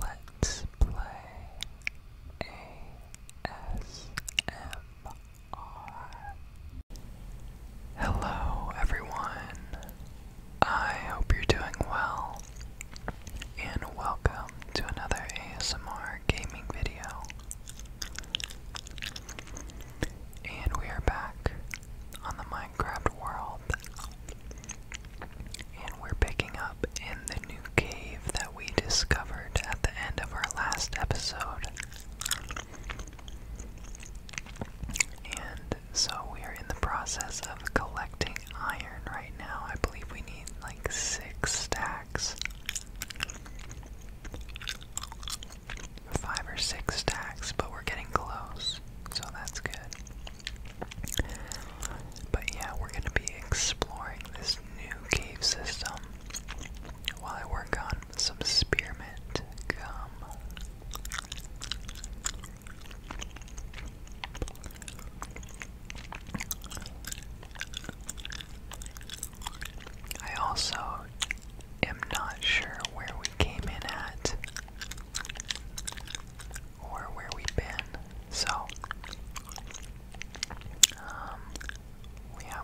Let's play ASMR. Hello, everyone. I hope you're doing well, and welcome to another ASMR gaming video. And we are back on the Minecraft world. And we're picking up in the new cave that we discovered at the end of our last episode. And so we are in the process of collecting iron right now. I believe we need like six stacks. Five or six stacks, but we're getting close, so that's good. But yeah, we're gonna be exploring this new cave system while I work on some spearmint gum. I also am not sure where we came in at or where we've been. So, um,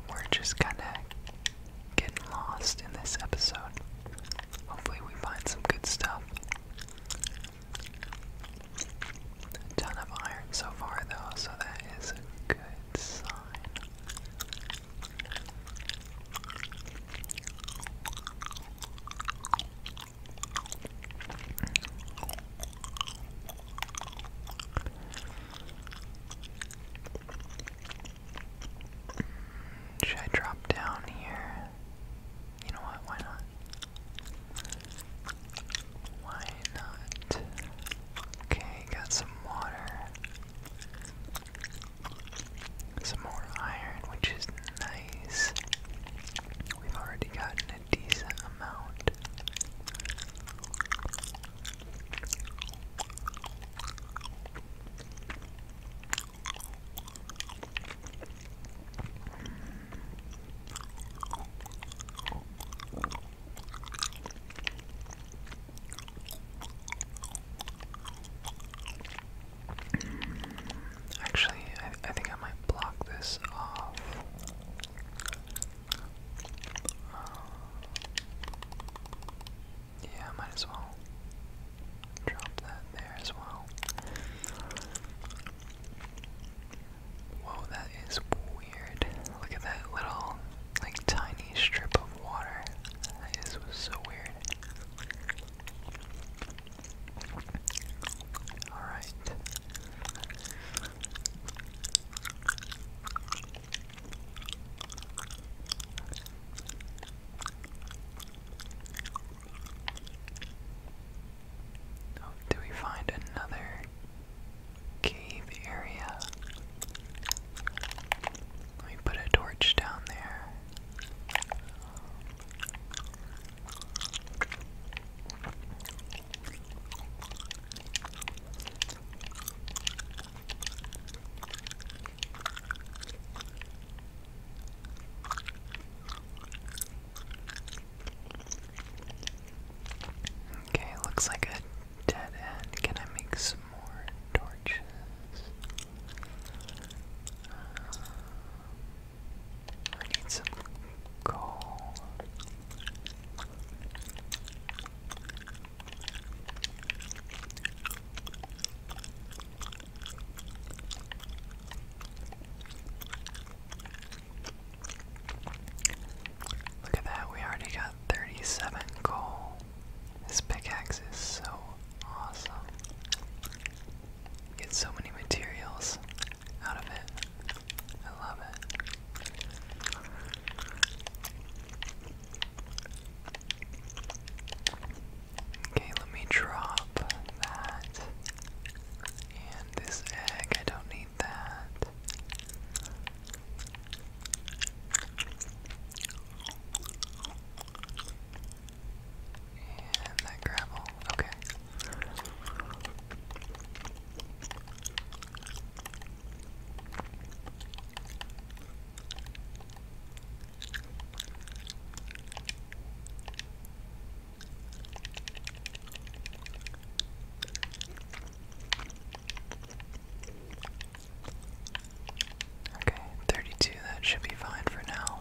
we're just kind of getting lost in this episode. Hopefully, we find some good stuff. ton of iron so far, though, so that is a good sign. Should I drop down here? You know what? Why not? Why not? Okay, got some water. Some more iron, which is Nice. We've already gotten a decent amount. Actually, I, I think I might block this off. Um, yeah, might as well drop that there as well. Whoa, that is weird. Look at that little, like, tiny strip of water. That is so weird. All right. Oh, do we find another cave area? Let me put a torch down there. Okay, looks like a dead end. Can I make some more torches? I need some coal. Look at that, we already got 37 coal. This pickaxe is so awesome. Get so many materials out of it. I love it. Okay, let me drop that. And this egg, I don't need that. And that gravel. Okay. Okay, 32, that should be fine for now.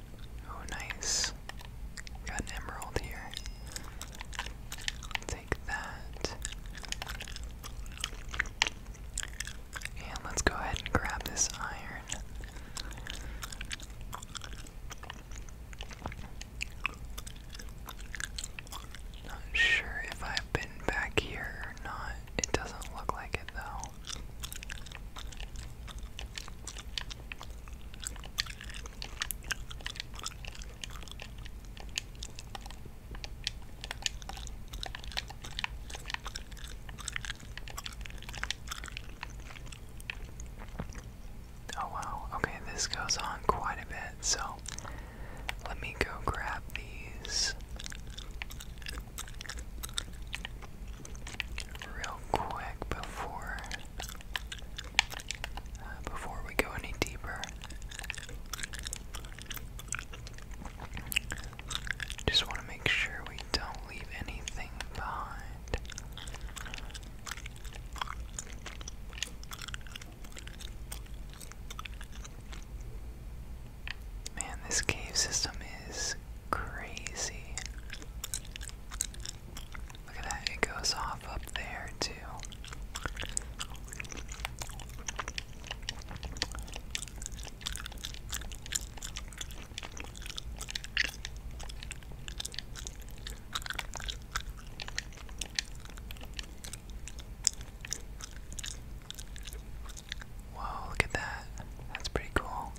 Oh, nice. Got an emerald here. Take that. And let's go ahead and grab this iron. Not sure if I've been back here or not. It doesn't look like it though. Oh wow, okay, this goes on quite a bit, so let me go grab these real quick before uh, before we go any deeper. Just want to make sure we don't leave anything behind. Man, this cave system is is crazy. Look at that, it goes off up there too. Whoa, look at that. That's pretty cool.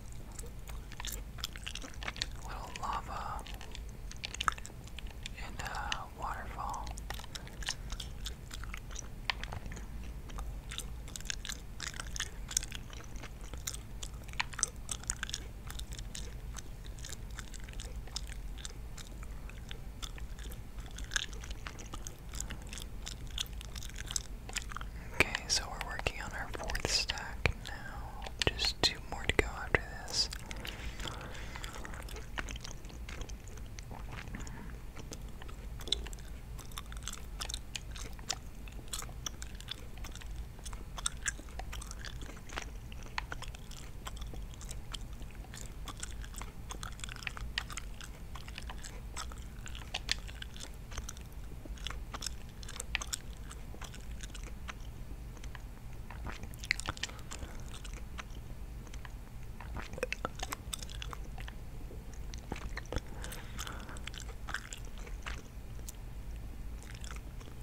Little lava and a waterfall. Okay, so we're working on our fourth stack now. Just two more to go after this.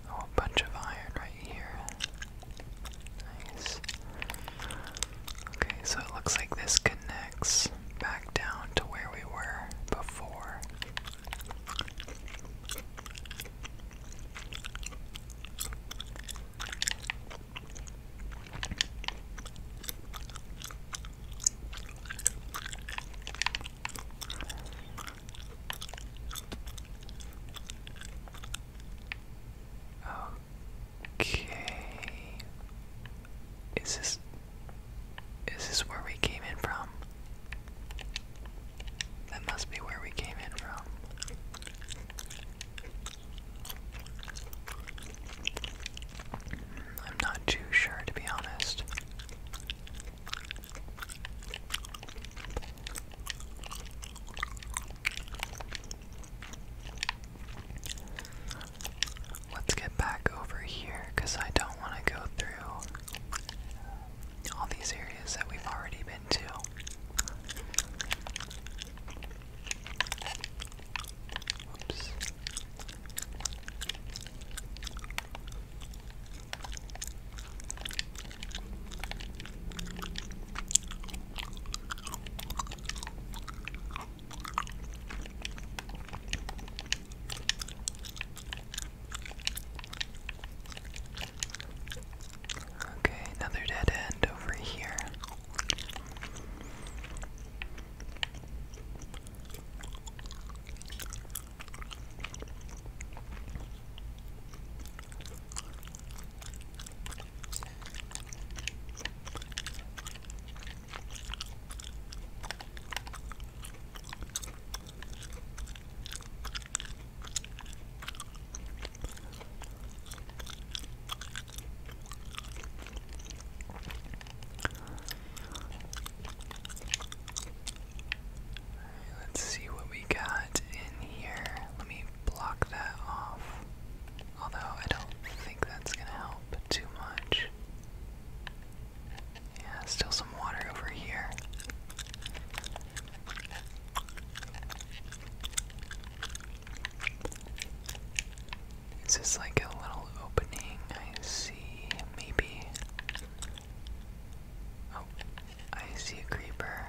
Oh, a bunch of iron right here. Nice. Okay, so it looks like this connects back down to where we were before. Okay. Is this is this where we came in from? That must be where we came in from. I'm not too sure, to be honest. Let's get back over here because I don't want to go through all these areas that we've already been to. Oops. Okay, another dead end over here. Let's see what we got in here. Let me block that off. Although I don't think that's going to help too much. Yeah, still some water over here. It's just like a little opening? I see, maybe. Oh, I see a creeper.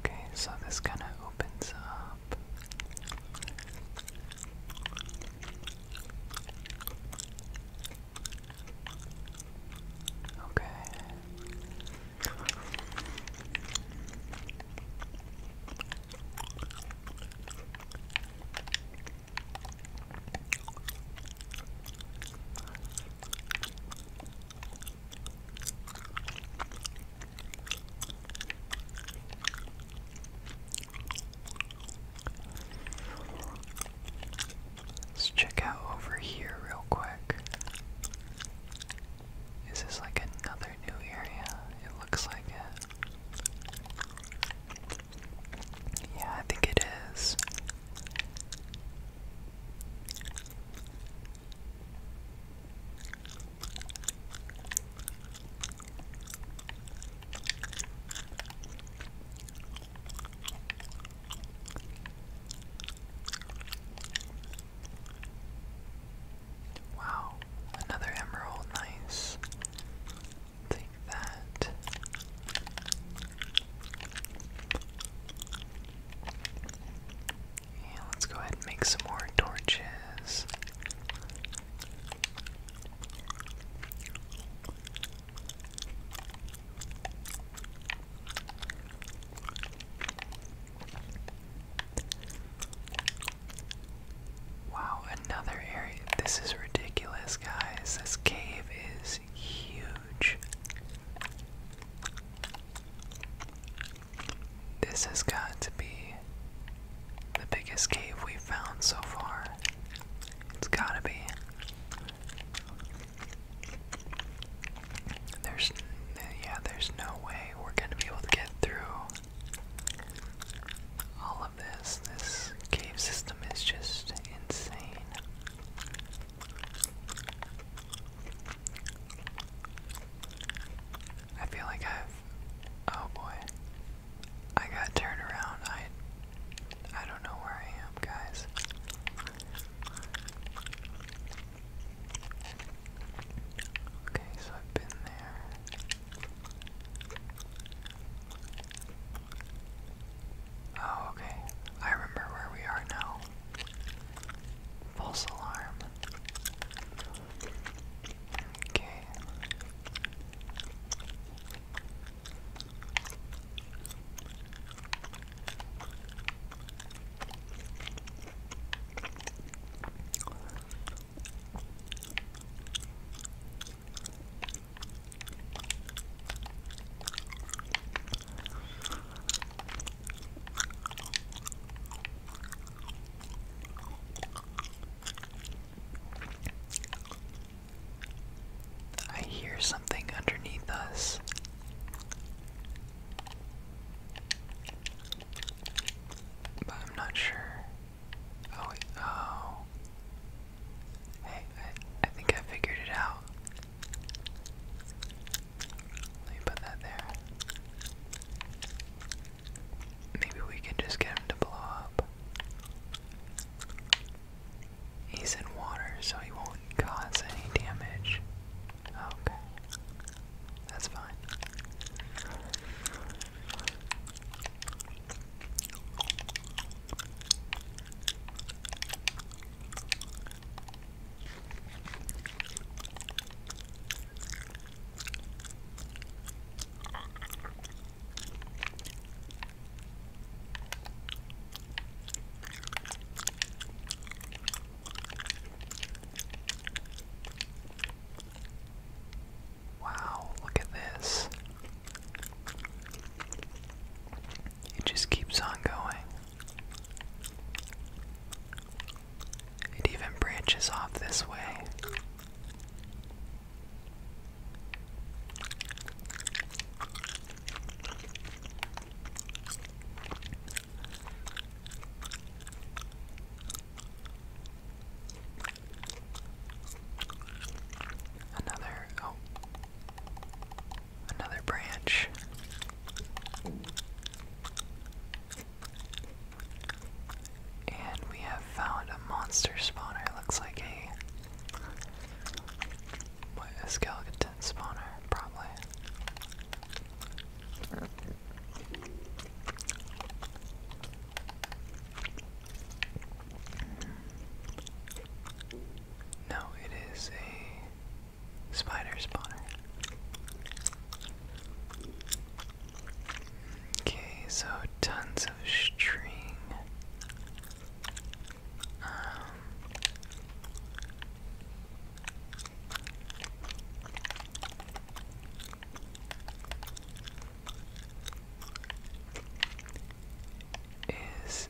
Okay, so this kind of opens up. Okay. Let's check out over here real quick. Is this like another new area? It looks like it. Yeah, I think it is. Wow, another emerald, nice. Take that let's go ahead and make some more torches. Wow, another area. This is ridiculous, guys. This cave is huge. This has got to be the biggest cave we've found so far. It's gotta be. There's, yeah, there's no way we're gonna be able to get through all of this. This cave system is just insane. I feel like I've oh boy. I got turned around. I I don't know where I am, guys. Okay, so I've been there. Oh, okay. I remember where we are now. False alarm. Okay. I hear something underneath us. But I'm not sure. Oh, oh. Hey, I think I figured it out. Let me put that there. Maybe we can just get him to blow up. He's in water, so he won't cause any damage. Okay. That's fine. Wow, look at this. It just keeps on going. It even branches off this way. Another, oh, another branch. And we have found a monster spawner. Looks like a, what, a skeleton spawner, probably. No, it is a Spider spawner. Okay, so tons of string. Um, is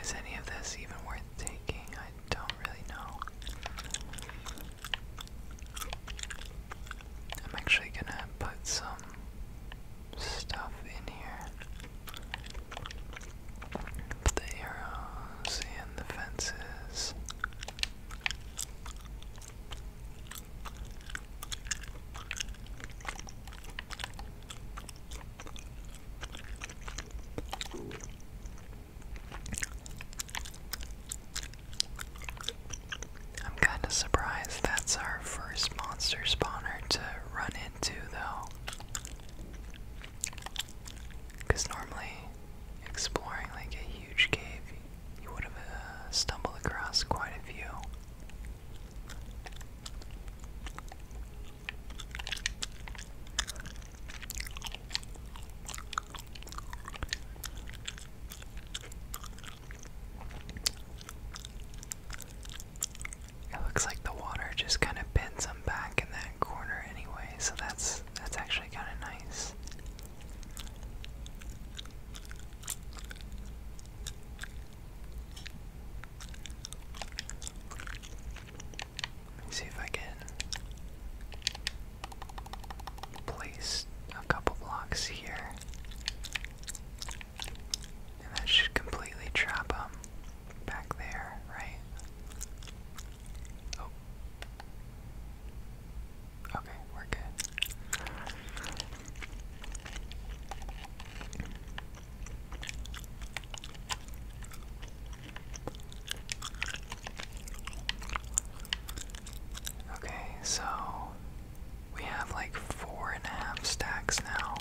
is any of this even worth taking? I don't really know. I'm actually gonna put some stuff in here. the arrows and the fences. I'm kinda surprised that's our first monster spawner to run into, though. Because normally, exploring like a huge cave, you would have uh, stumbled across quite a few. It looks like the water just kind of bends them back in that corner anyway, so that's that's actually kind of nice. Let's see if I can place a couple blocks here. And that should completely trap them back there, right? Oh. Okay, we're good. Okay, so we have like four and a half stacks now.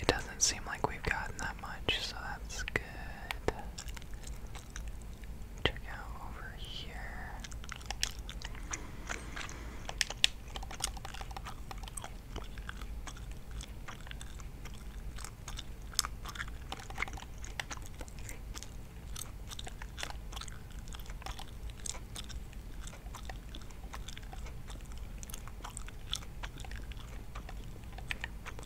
It doesn't seem like we've gotten that much, so that's good check out over here.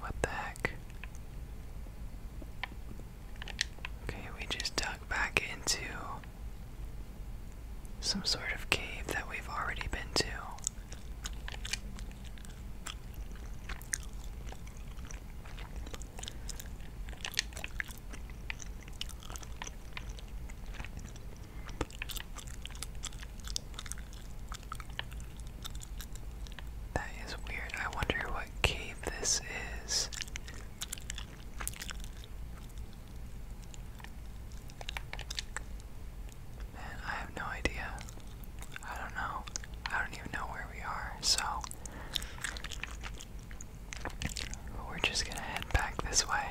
What the heck? Okay, we just dug back into some sort of cave that we've already been to. That is weird. I wonder what cave this is. Man, I have no idea. I don't know. I don't even know where we are, so. We're just gonna head back this way.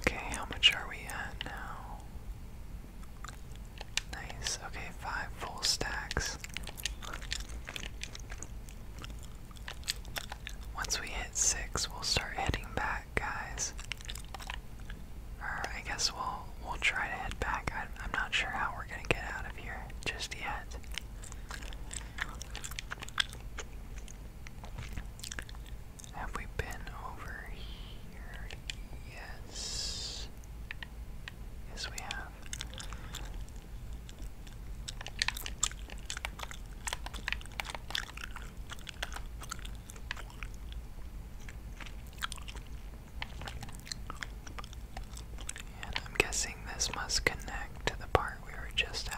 Okay, how much are we at now? Nice. Okay, five full stacks. Once we hit six, we'll start heading back, guys. Or I guess we'll we'll try to head back. I, I'm not sure how we're gonna get out of here just yet. Have we been over here? Yes. Yes, we have. And I'm guessing this must connect to the part we were just at.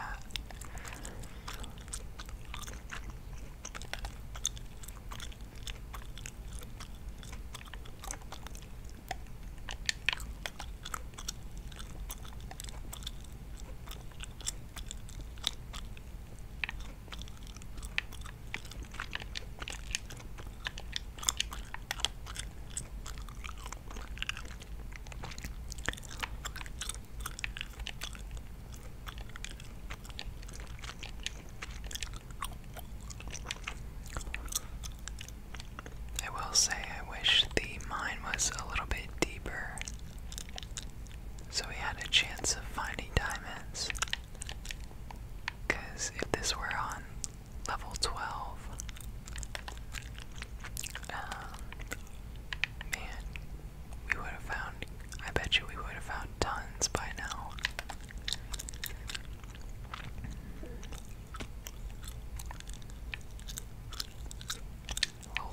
I will say, I wish the mine was a little bit deeper so we had a chance of finding diamonds. Because if this were on level 12, um, man, we would have found, I bet you we would have found tons by now.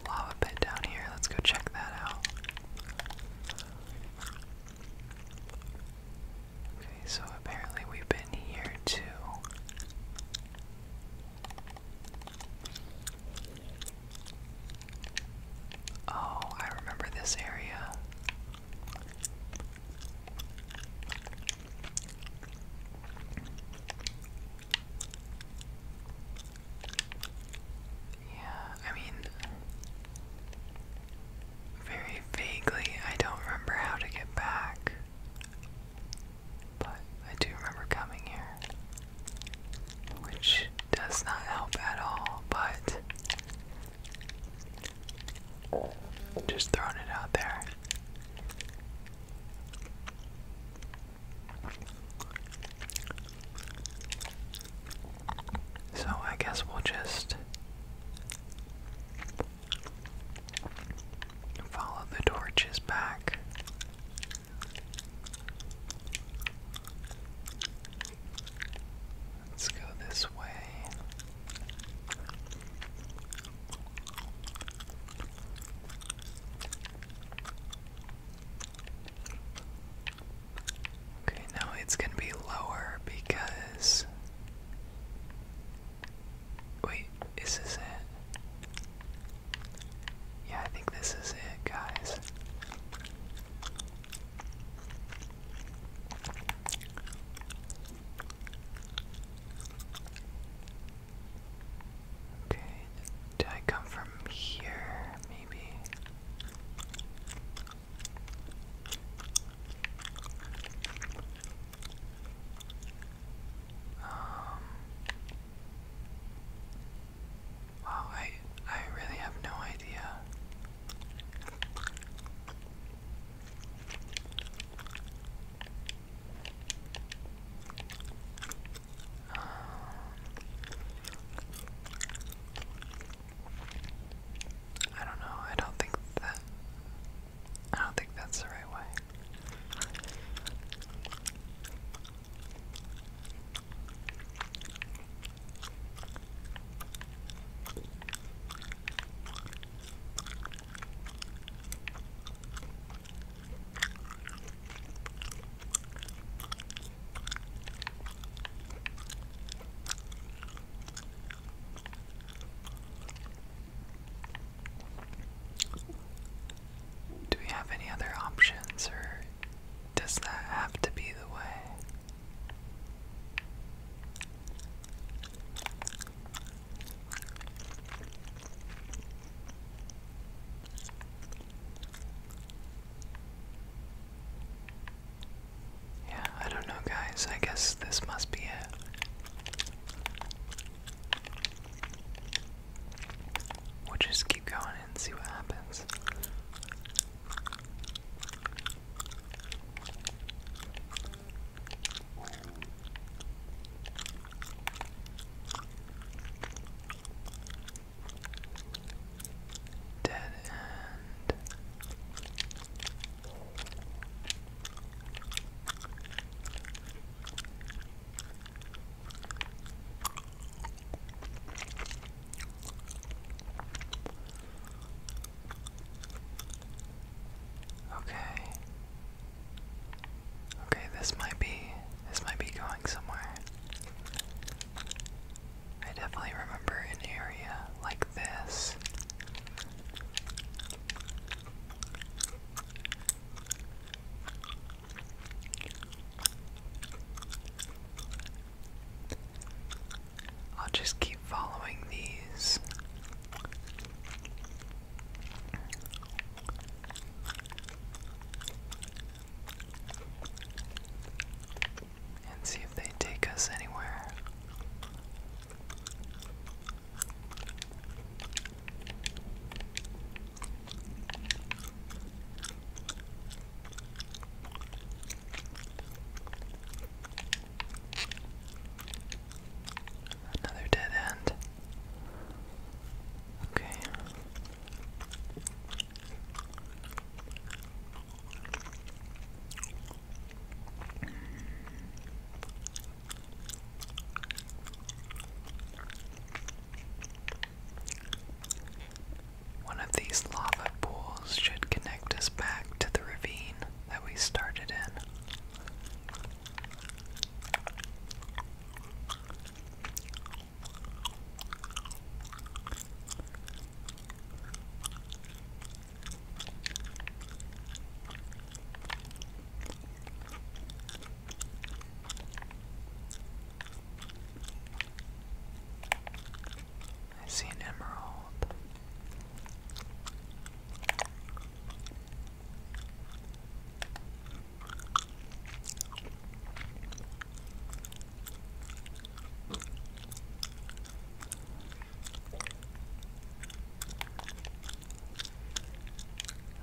lava pit down here, let's go check that out. Okay, so apparently we've been here too. Oh, I remember this area. Yeah, I mean, very vaguely, I don't remember how to get back. But I do remember coming here, which does not help at all, but just throwing it out there. So I guess we'll just Follow the torches back. Let's go this way. Okay, now it's going to be lower because Wait, is this it? Yeah, I think this is it, guys. Okay, did I come from here, maybe? Um, wow, I I really have no idea. Um, I don't know. I don't think that I don't think that's the right way. Do we have any other options, or does that have to be the way? Yeah, I don't know, guys. I guess this must be it. We'll just keep going and see what happens. Dead end. Okay. Okay, this might be this might be going somewhere. I definitely remember an area like this. I'll just keep following these. And see if they take us anywhere. Another dead end. Okay. One of these lava pools should connect us back to the ravine that we started in. I see an emerald.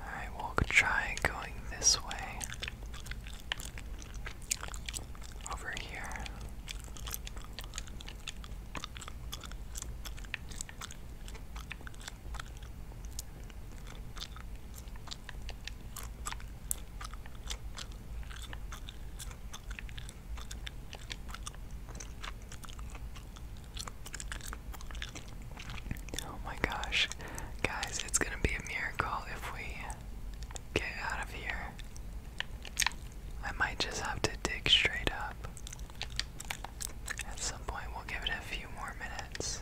I will try going this way. Over here. Oh my gosh. Guys, it's gonna be a miracle if we get out of here. I might just have to dig straight up. At some point, we'll give it a few more minutes.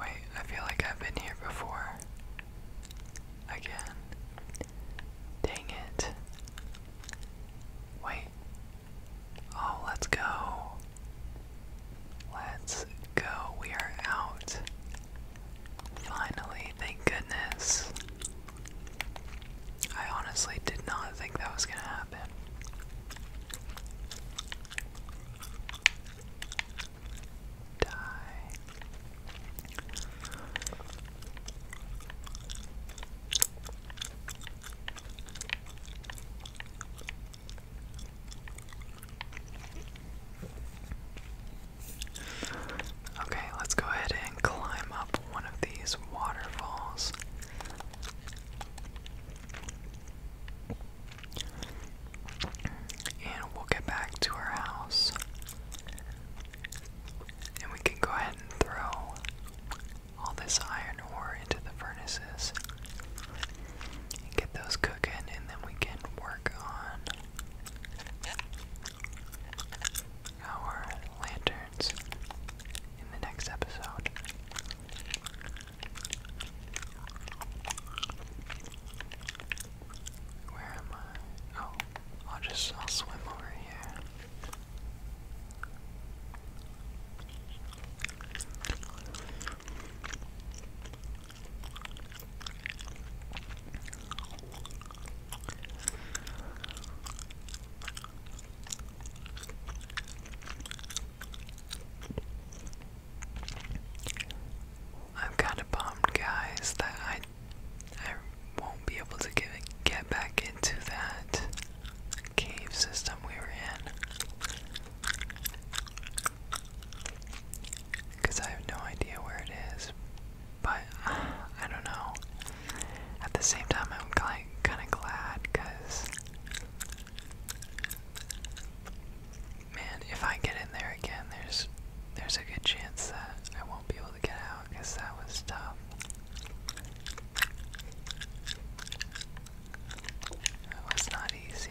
Wait, I feel like I've been here before. Again. Dang it. Wait. Oh, let's go. Let's go. We are out. Finally, thank goodness. I honestly did not think that was going to happen. Die. Okay, let's go ahead and climb up one of these waterfalls. And we'll get back to our house. And we can go ahead and throw all this iron ore into the furnaces and get those cooking, and then we can work on our lanterns in the next episode. Where am I? Oh, I'll just I'll swim over here. I'm kind of bummed, guys, that I I won't be able to get get back into that cave system we were in. Because I have no idea where it is. But I don't know. At the same time, I'm like kind of glad because, man, if I get in there again, there's there's a good chance that I won't be able to get out because that was tough. That was not easy.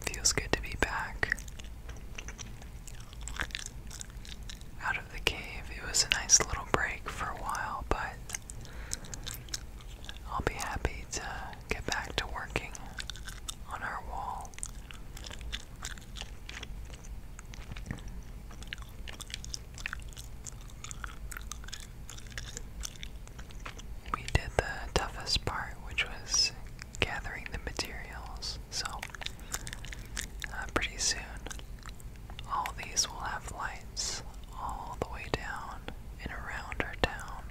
Feels good to be back. Out of the cave. It was a nice little break for a while, but I'll be happy to get back to working on our wall we did the toughest part, which was gathering the materials. So, uh, pretty soon, all these will have lights all the way down and around our town.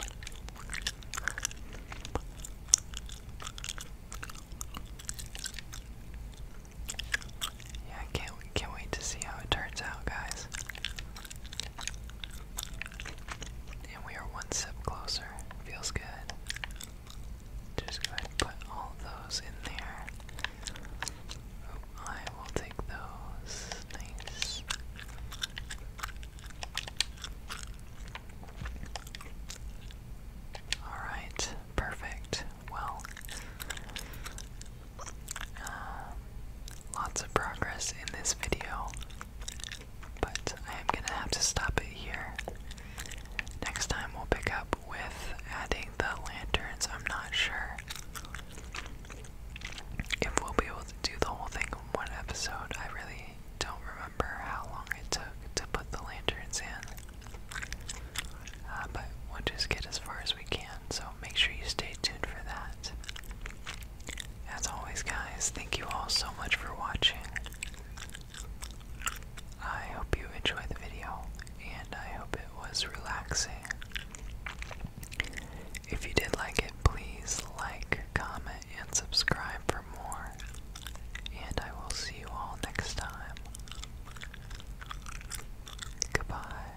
Yeah, can't can't wait to see how it turns out, guys. And we are one step closer. Feels good. Just go ahead and put all those in there. Oh, I will take those. Nice. Alright, perfect. Well, uh, lots of progress in this video. But I am gonna have to stop it here. Next time we'll pick up with adding the lanterns. I'm not sure if we'll be able to do the whole thing in one episode. I really don't remember how long it took to put the lanterns in. Uh, but we'll just get as far as we can, so make sure you stay tuned for that. As always, guys, thank you all so much for watching. I hope you enjoyed the video, and I hope it was relaxing. If you did like it, please like, comment, and subscribe for more. And I will see you all next time. Goodbye.